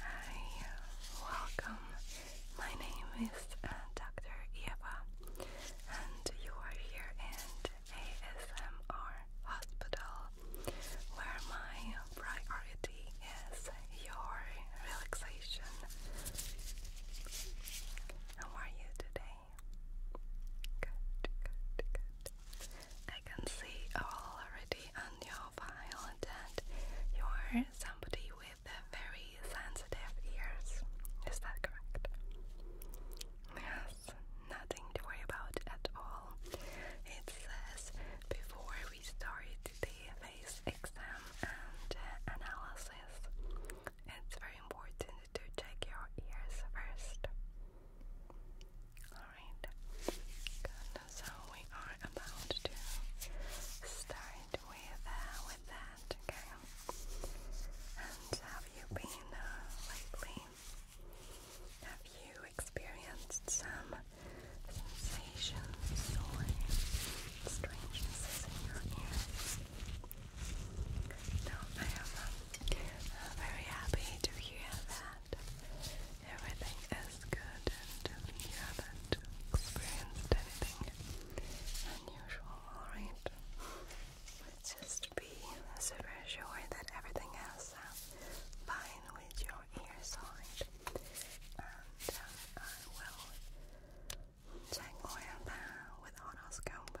Hi, welcome. My name is uh, Dr. Eva, and you are here in ASMR Hospital, where my priority is your relaxation. How are you today? I can see already on your file that you are somebody with very sensitive ears. Is that correct? Yes, nothing to worry about at all. It says before we start the face exam and uh, analysis, it's very important to take your ears first. Alright, good. So we are about to start with uh, that, okay? And have you been uh, lately? Have you experienced some sensations or strangenesses in your ears? No, I am uh, very happy to hear that everything is good and you haven't experienced anything unusual, alright? Let's just be super sure that everything is uh, fine with your ear side. And uh, I will check oil uh, with otoscope.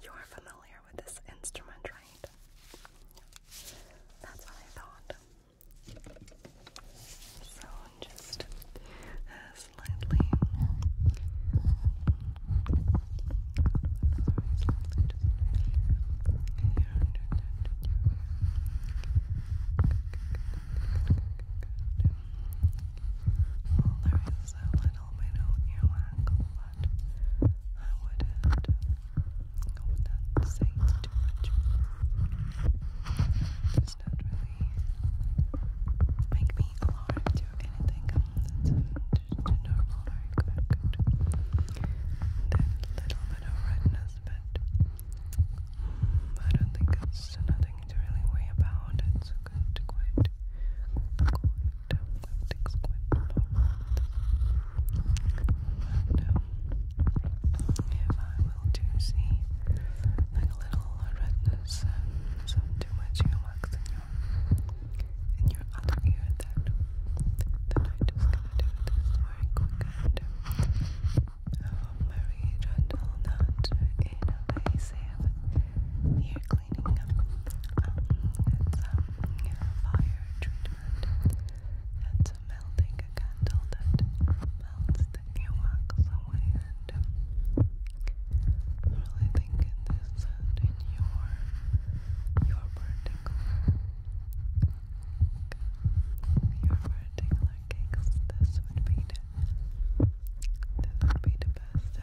You're familiar with this instrument, right? That's what I thought. So just uh, slightly, there is a little film, I know you want but I wouldn't I wouldn't say it's too much. Does not really make me alarmed to anything that's just a normal dark That little bit of redness but I don't think it's nothing to really worry about. It's good, quite, quite if I will do see like a little redness some too much earwax in your in your other ear that then i just gonna do this very quick and um, very gentle, not in a way safe cleaning. Um, you fire treatment. That's melting candle that melts the new wax away. And i really thinking this and in your your particular your particular cakes, this would be the this would be the best.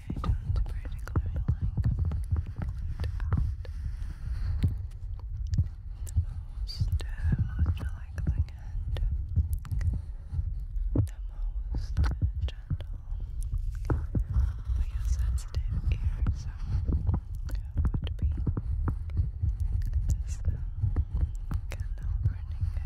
I do The most, uh, and the most gentle for your sensitive ear, so it would be this candle burning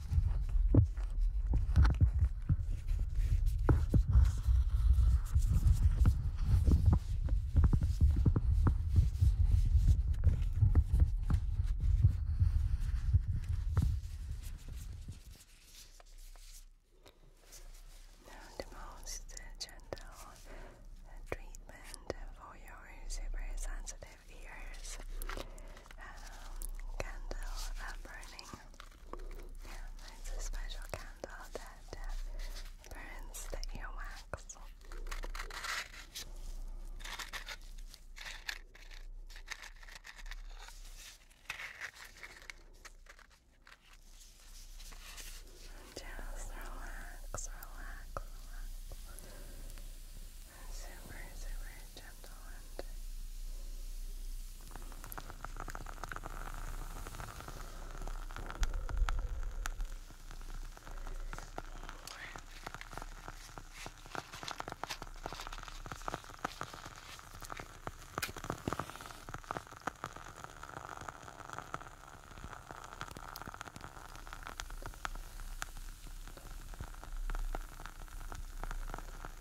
Now the most gentle treatment for your super of ears. Um, candle uh, burning. it's a special candle that uh, burns the earwax. Just relax, relax, relax and super, super gentle and Thank you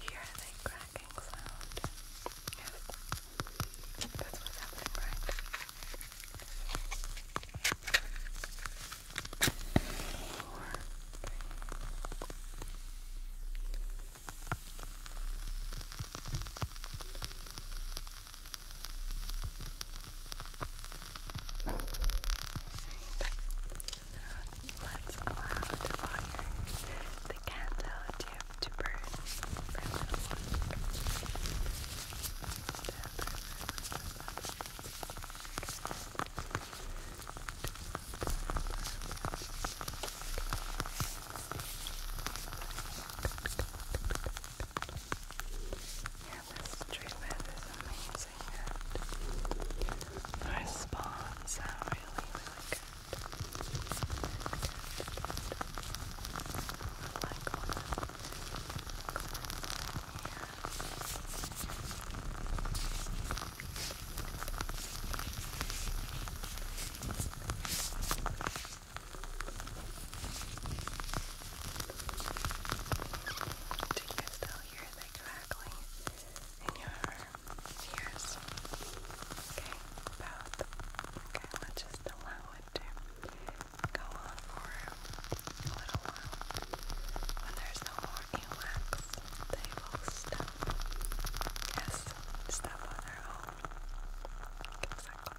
Hear that cracking sound? Yes, that's what's happening, right? Four. Five. Let's allow the fire, the candle dip to burn for a little Yeah, this treatment is amazing and the response are really, really good. do you know hear the crackling in your ears. Okay, both. Okay, let's just allow it to go on for a little while. When there's no more earwax, they will stop. Yes, stop on their own. Exactly.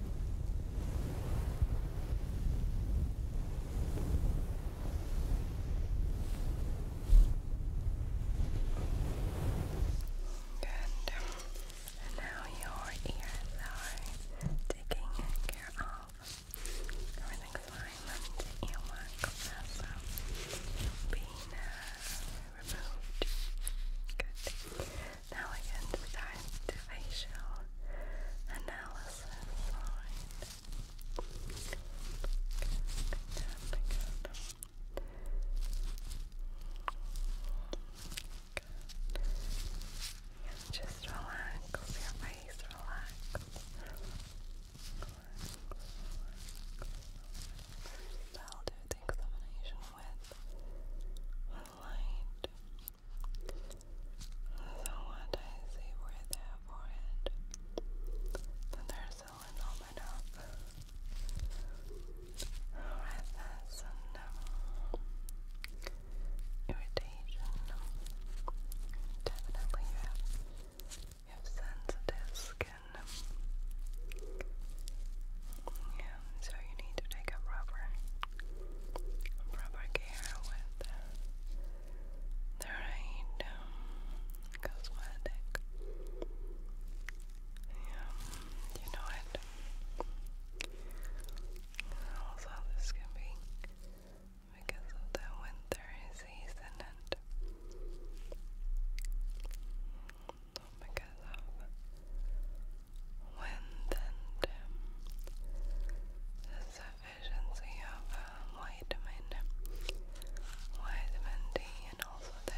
Good. And now your ears are taking care of everything slime and earwax that's um, being removed. Good. Now I get to facial analysis. Alright. Good, Just relax, your face relax. I'll do the with light. So what I see where their forehead they're so enormous up. Alright, that's enough irritation. Definitely you have you have sensitive skin. Yeah, so you need to take a proper, proper care with the right um, cosmetic. Yeah, you know it. Also, this can be because of the winter season and because of um, wind and the sufficiency of uh, vitamin, also the,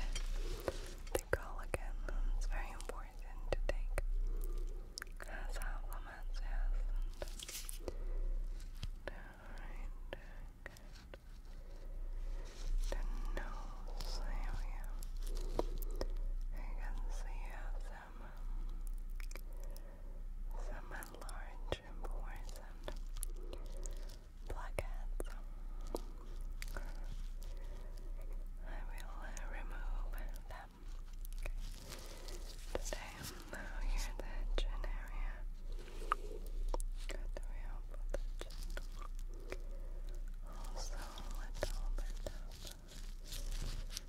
the collagen it's very important to take uh, supplements, and alright, good the nose area you some some large important blackheads. I will uh, remove them. Today, now the chin area. Also, a little bit of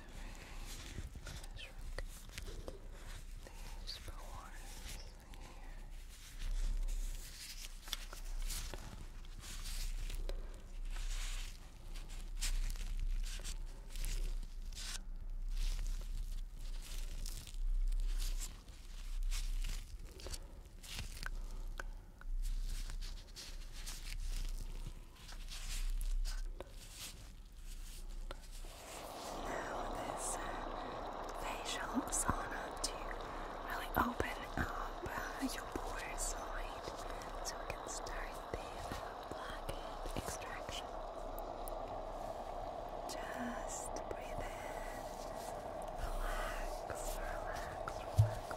very rock. These pores here. Now this facial sauna to really open up your pores side so start the blackhead extraction. Just breathe in, relax, relax, relax.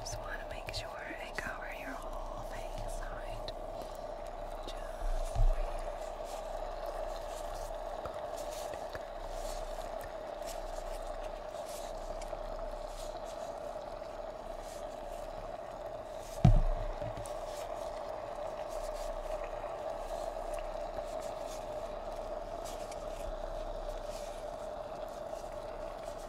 Just want to make sure I cover your whole face, alright?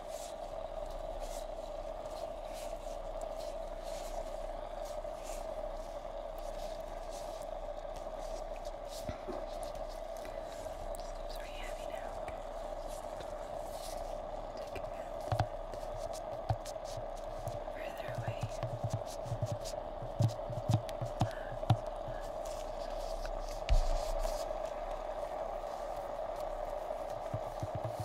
This very heavy now. Further away. Relax, relax.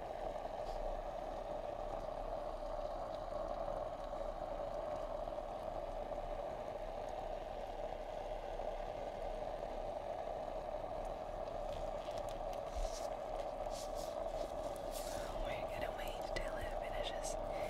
We're gonna wait till it finishes. Okay.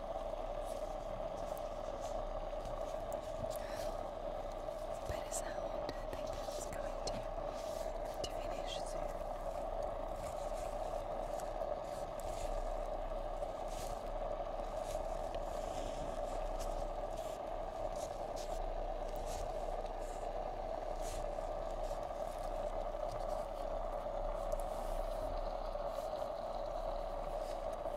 By the sound, I think it's going to, to finish soon. I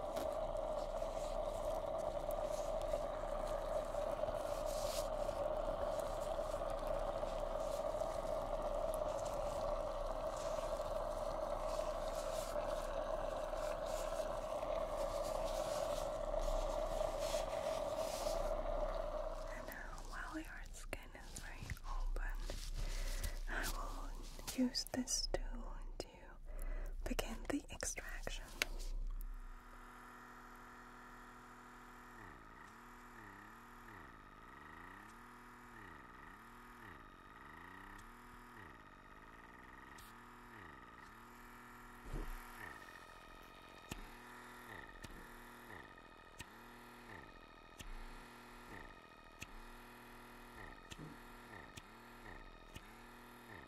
And now, uh, while your skin is very open, I will use this to begin the extraction.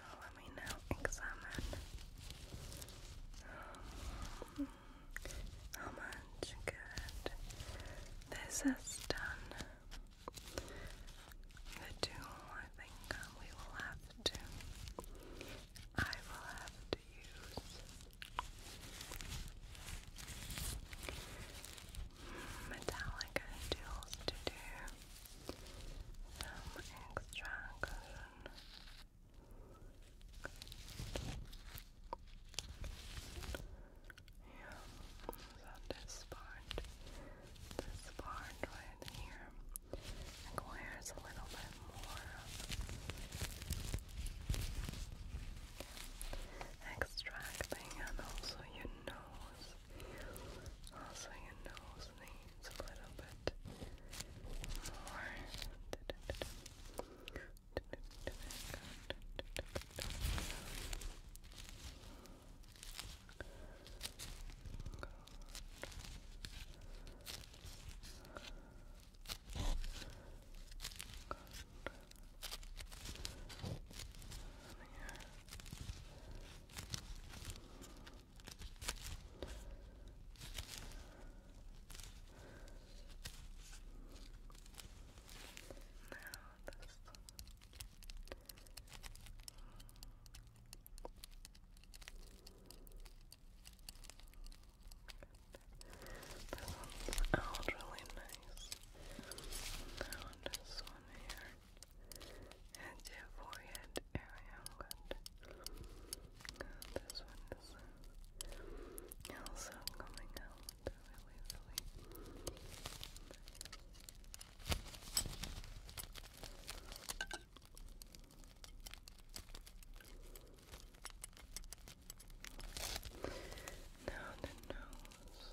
Oh, let me now examine how much good this has done. The tool I think um, we will have to I will have to use metallic jewels to do some extra Yeah, so this part, this part right here requires a little bit more extracting and also your nose also, your nose needs a little bit more here. Now this. That one's out really nice. Now this one here and your forehead area. this one is uh, also coming out really, really Now the nose.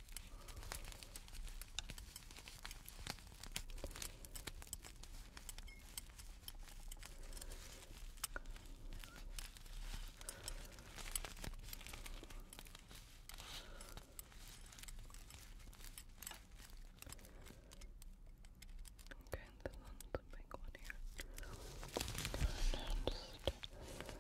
Okay, this one's the big one here. And just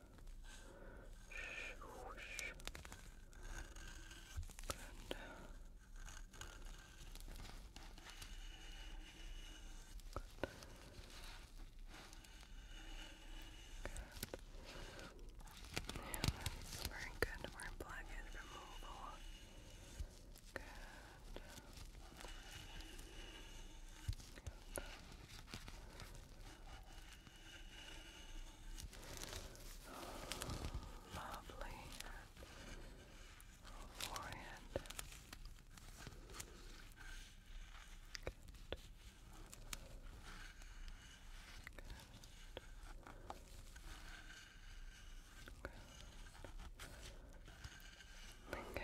Shoosh. And Good. Good. Yeah, that's very good. We're plugging removal. Good. Good. Good lovely forehead. Good. Good. Good. Good.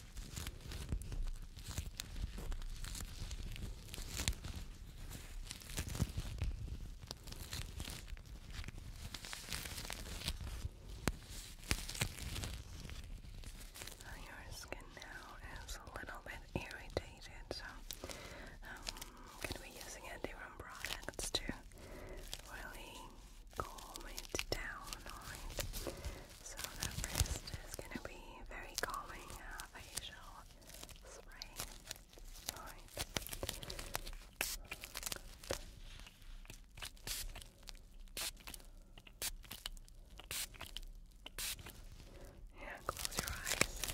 Oh, your skin now is a little bit irritated, so could um, be using a different products to really calm it down, so that wrist is going to be very calming facial uh, spray. Yeah, close your eyes.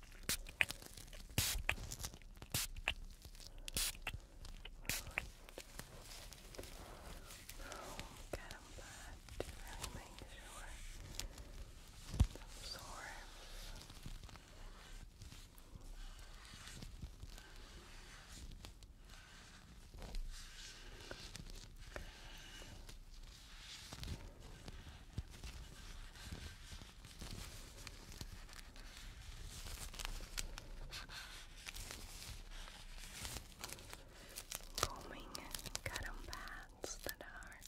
Get them back to really make sure it absorbs. Good. Foaming cotton pads that are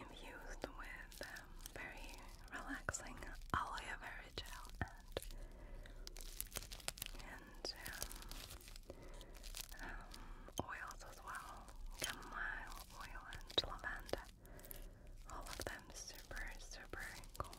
infused with um, very relaxing aloe vera gel and um, um, oils as well, chamomile oil and lavender all of them super, super calming.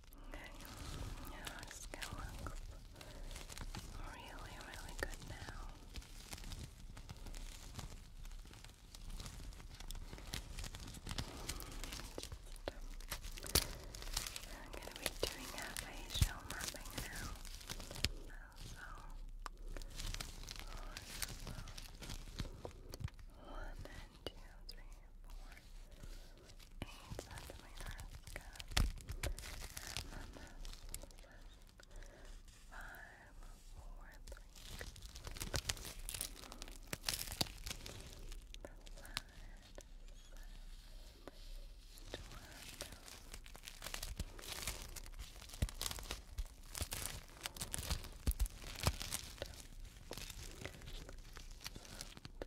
Okay, your skin looks really, really good now. I'm going to be doing a facial mapping now. So, two, three, four, eight centimeters. And then this is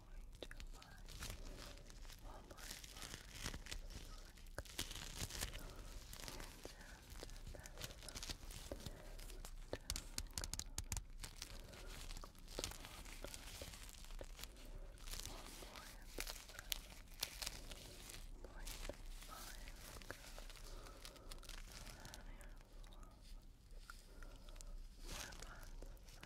going to my Walmart Five, Four months,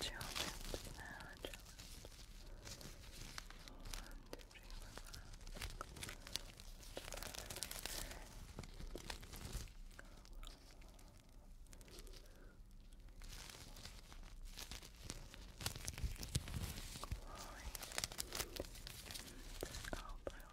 Chill lips now, chill Glowing. And the upper lip. Yeah, one,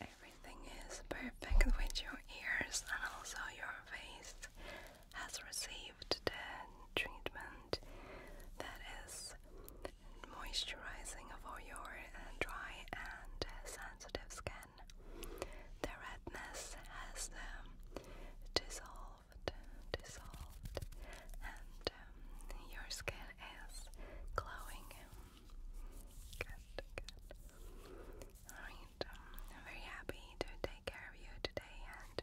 Everything is perfect with your ears and also your face has received the treatment that is moisturizing for your dry and sensitive skin. The redness has um, dissolved dissolved, and um, your skin is glowing. Good, good. Alright, um, very happy to take care of you today and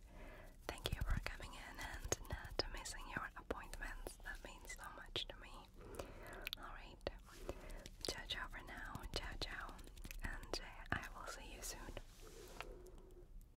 thank you for coming in and not missing your appointments. That means so much to me. Alright, ciao ciao for now, ciao ciao, and uh, I will see you soon.